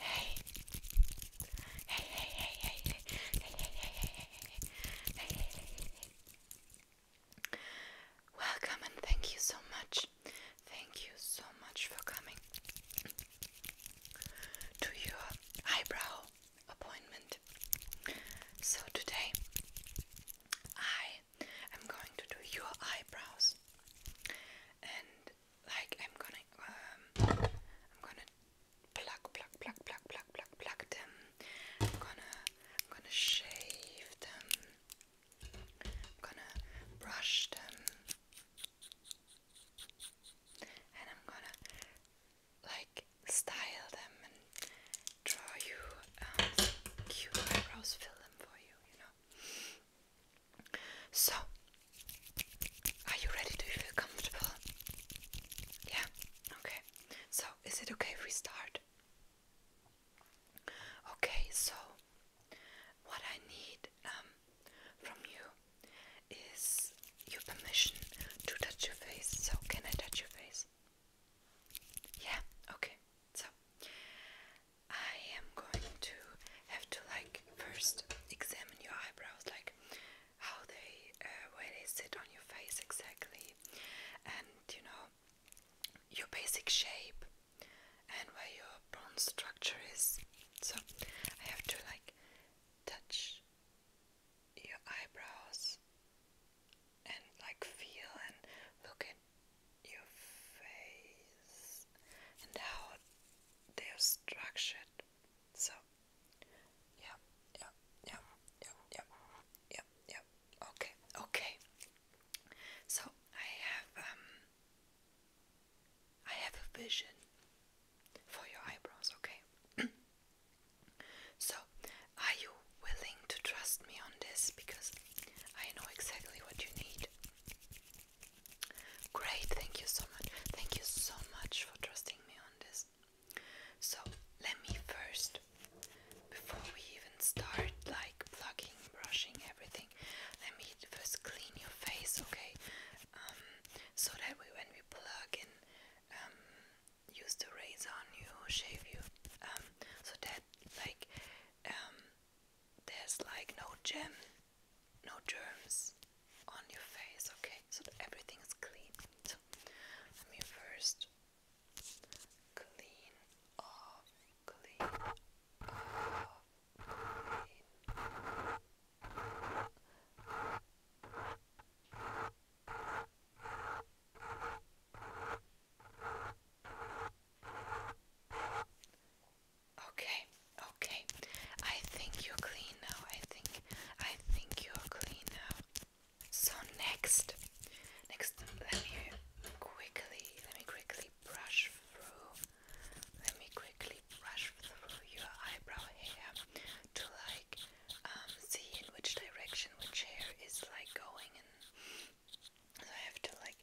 Hey. Hey, hey, hey, hey, hey, hey, hey, hey, hey, hey, hey, hey, hey. Welcome and thank you so much. Thank you so much for coming to your eyebrow appointment. So today I am going to do your eyebrows and like I'm gonna um, I'm gonna pluck pluck pluck pluck pluck pluck pluck them. I'm gonna I'm gonna shave them. I'm gonna brush them. And I'm gonna like style them and draw you um, cute eyebrows, fill them for you, you know. So, are you ready? Do you feel comfortable? Yeah, okay. So, is it okay if we start? Okay, so what I need um, from you is your permission to touch your face. So, can I touch your face? Yeah, okay. So, I am going to have to like first examine your eyebrows, like how they, uh, where they sit on your face exactly, and you know, your basic shape and where your bone structure is. So I have to like touch your eyebrows and like feel and look at your face and how they are structured. So, yeah, yeah, yeah, yeah, yeah, yeah, Okay, okay. So I have um, I have a vision for your eyebrows. Okay. so, are you willing to trust me on this? Because I know exactly what you need. Great, thank you so much. Thank you so much for trusting me on this. So, let me first, before we even start like plugging, brushing, everything, let me first clean your face, okay? Um, so that we, when we plug and um, use the razor on you, shave you, um, so that like um, there's like no gem, no germs on your face, okay? So everything is clean. So let me first clean off, clean off, clean. Okay, okay. I think you're clean now. I think I think you're clean now. So next next let me quickly let me quickly brush through let me quickly brush through your eyebrow hair to like um, see in which direction which hair is like going and I have to like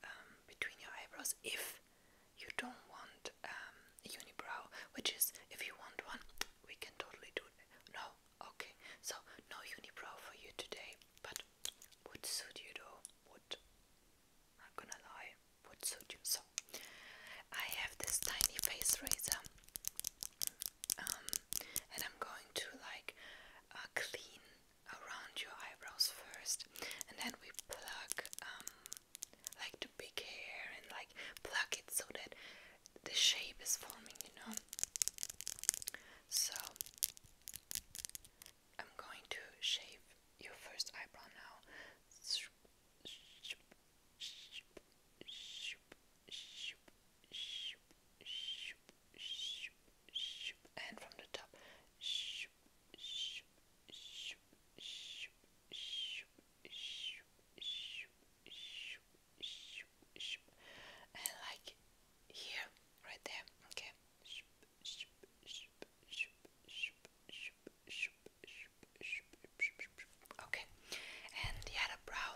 um, between your eyebrows if you don't want um, a unibrow, which is if you want one, we can totally do it. No, okay, so no unibrow for you today, but would suit you though, would. Not gonna lie, would suit you. So, I have this tiny face razor, um, and I'm going to like uh, clean around your eyebrows first, and then we pluck um, like the big hair and like pluck it so that the shape is forming, you know. So I'm going to shave your first eyebrow now shoop, and from the top, shoop, shoop, shoop, shoop, shoop, shoop, shoop, shoop, shoop, shoop, and like here, right there, okay. Shoop, shoop, shoop, shoop, shoop, shoop, shoop, shoop, shoop, shoop, shoop, okay. And the other brow.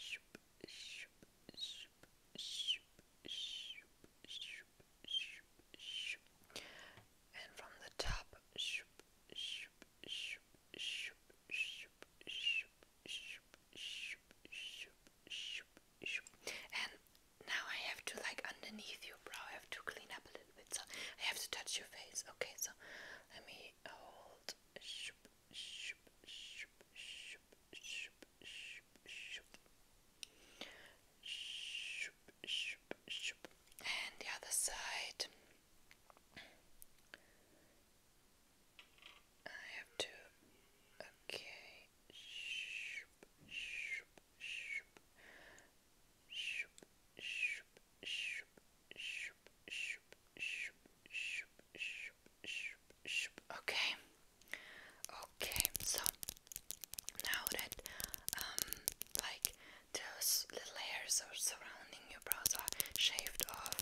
Shoop, shoop, shoop, shoop, shoop, and from the top and now I have to like underneath your brow I have to clean up a little bit so I have to touch your face okay so let me hold shoop, shoop, shoop. Shoop, shoop, shoop. And the other side. I have to. Okay. Shoop, shoop, shoop. Shoop, shoop, shoop, shoop, shoop, shoop, shoop, shoop, shoop, shoop. Okay. Okay, so now that um like those little hairs are surrounding your brows are shaved off,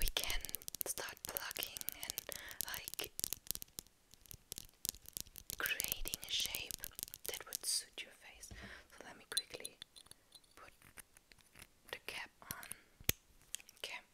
we can start plucking and like creating a shape that would suit your face. So let me quickly put the cap on. Okay.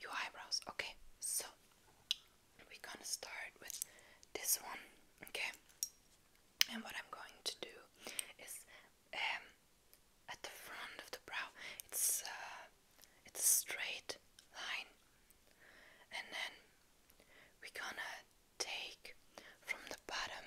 your eyebrows. Okay, so we're gonna start with this one, okay? And what I'm going to do is at the front of the brow, it's it's a straight line, and then we're gonna take from the bottom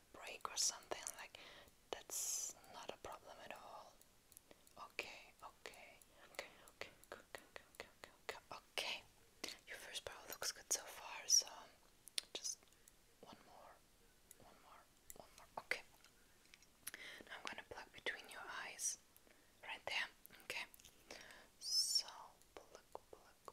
break or something like that's not a problem at all. Okay, okay, okay, okay, good, good, okay. Your first bow looks good so far, so just one more, one more, one more. Okay. I'm gonna pluck between your eyes, right there. Okay. So pluck, pluck,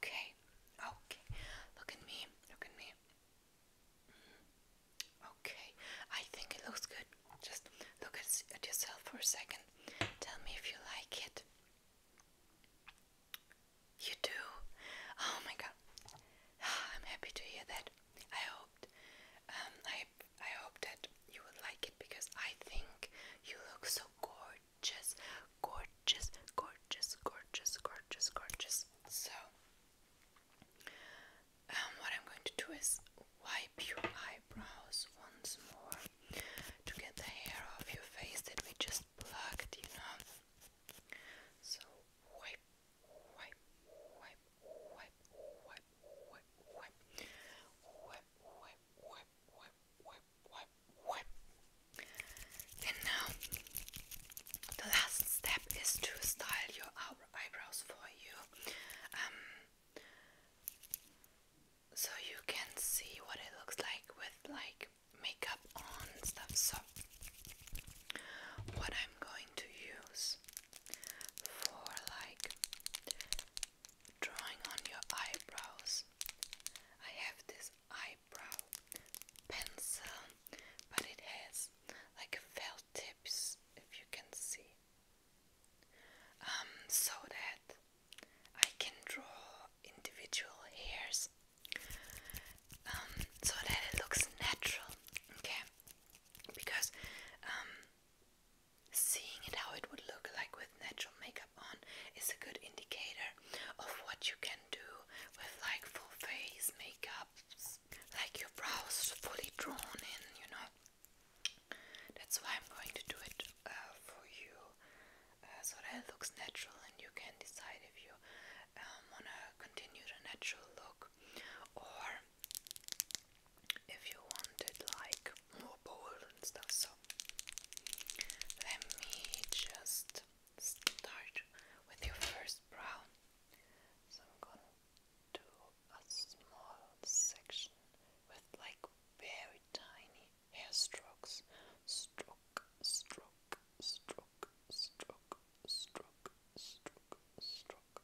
Okay, okay. Look at me, look at me. Okay, I think it looks good. Just look at, at yourself for a second. Tell me if you like it. You do? Oh my god. I'm happy to hear that. I hoped. I I hope that you will like it because I think you look so gorgeous, gorgeous, gorgeous, gorgeous, gorgeous, gorgeous. So, what I'm going to do is wipe your eyebrows once more to get the hair off your face that we just plucked, you know. So, wipe, wipe, wipe, wipe, wipe, wipe, wipe, wipe, whip, whip, whip, whip, whip. And now, the last step is to style your eyebrows for you. Um, so you can see what it looks like with like makeup on and stuff. So, what I'm going to use for like drawing on your eyebrows. I have this eyebrow pencil, but it has like felt tips, if you can see, um, so that I can draw individual hairs, um, so that it looks natural. Okay, because um, Seeing it how it would look like with natural makeup on is a good indicator of what you can do with like full face makeup, like your brows fully drawn in, you know. That's why I'm going to do it uh, for you uh, so that it looks natural and you can decide if you um, want to continue the natural look or if you wanted like more bold and stuff. So let me just start with your first brow. So I'm gonna do a small section with like very tiny hair strokes. Stroke, stroke, stroke, stroke, stroke, stroke, stroke, stroke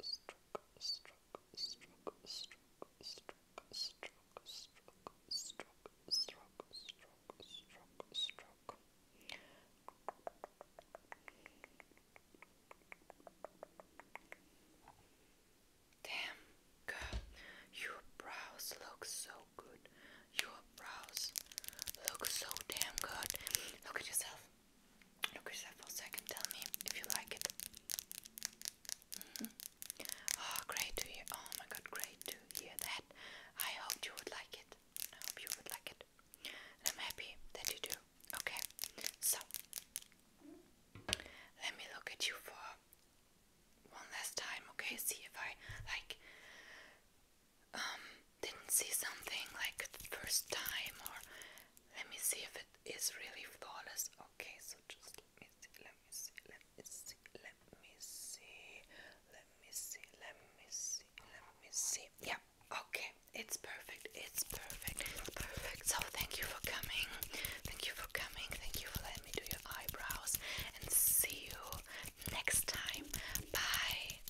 stroke, Damn, girl, your brows look so good. Your brows look so damn good. Look at yourself. Look at for a second. Tell me if you like it. Oh, great to hear. Oh my god, great to hear that. I hope you would like it. I hope you would like it. I'm happy that you do. Okay, so let me look at you for one last time, okay? See if I like. Um, didn't see something like the first time or let me see if it is really flawless. Okay, so just let me see, let me see, let me see, let me see, let me see, let me see, let me see. Yeah, okay, it's perfect, it's perfect, perfect. So thank you for coming, thank you for coming, thank you for letting me do your eyebrows and see you next time. Bye.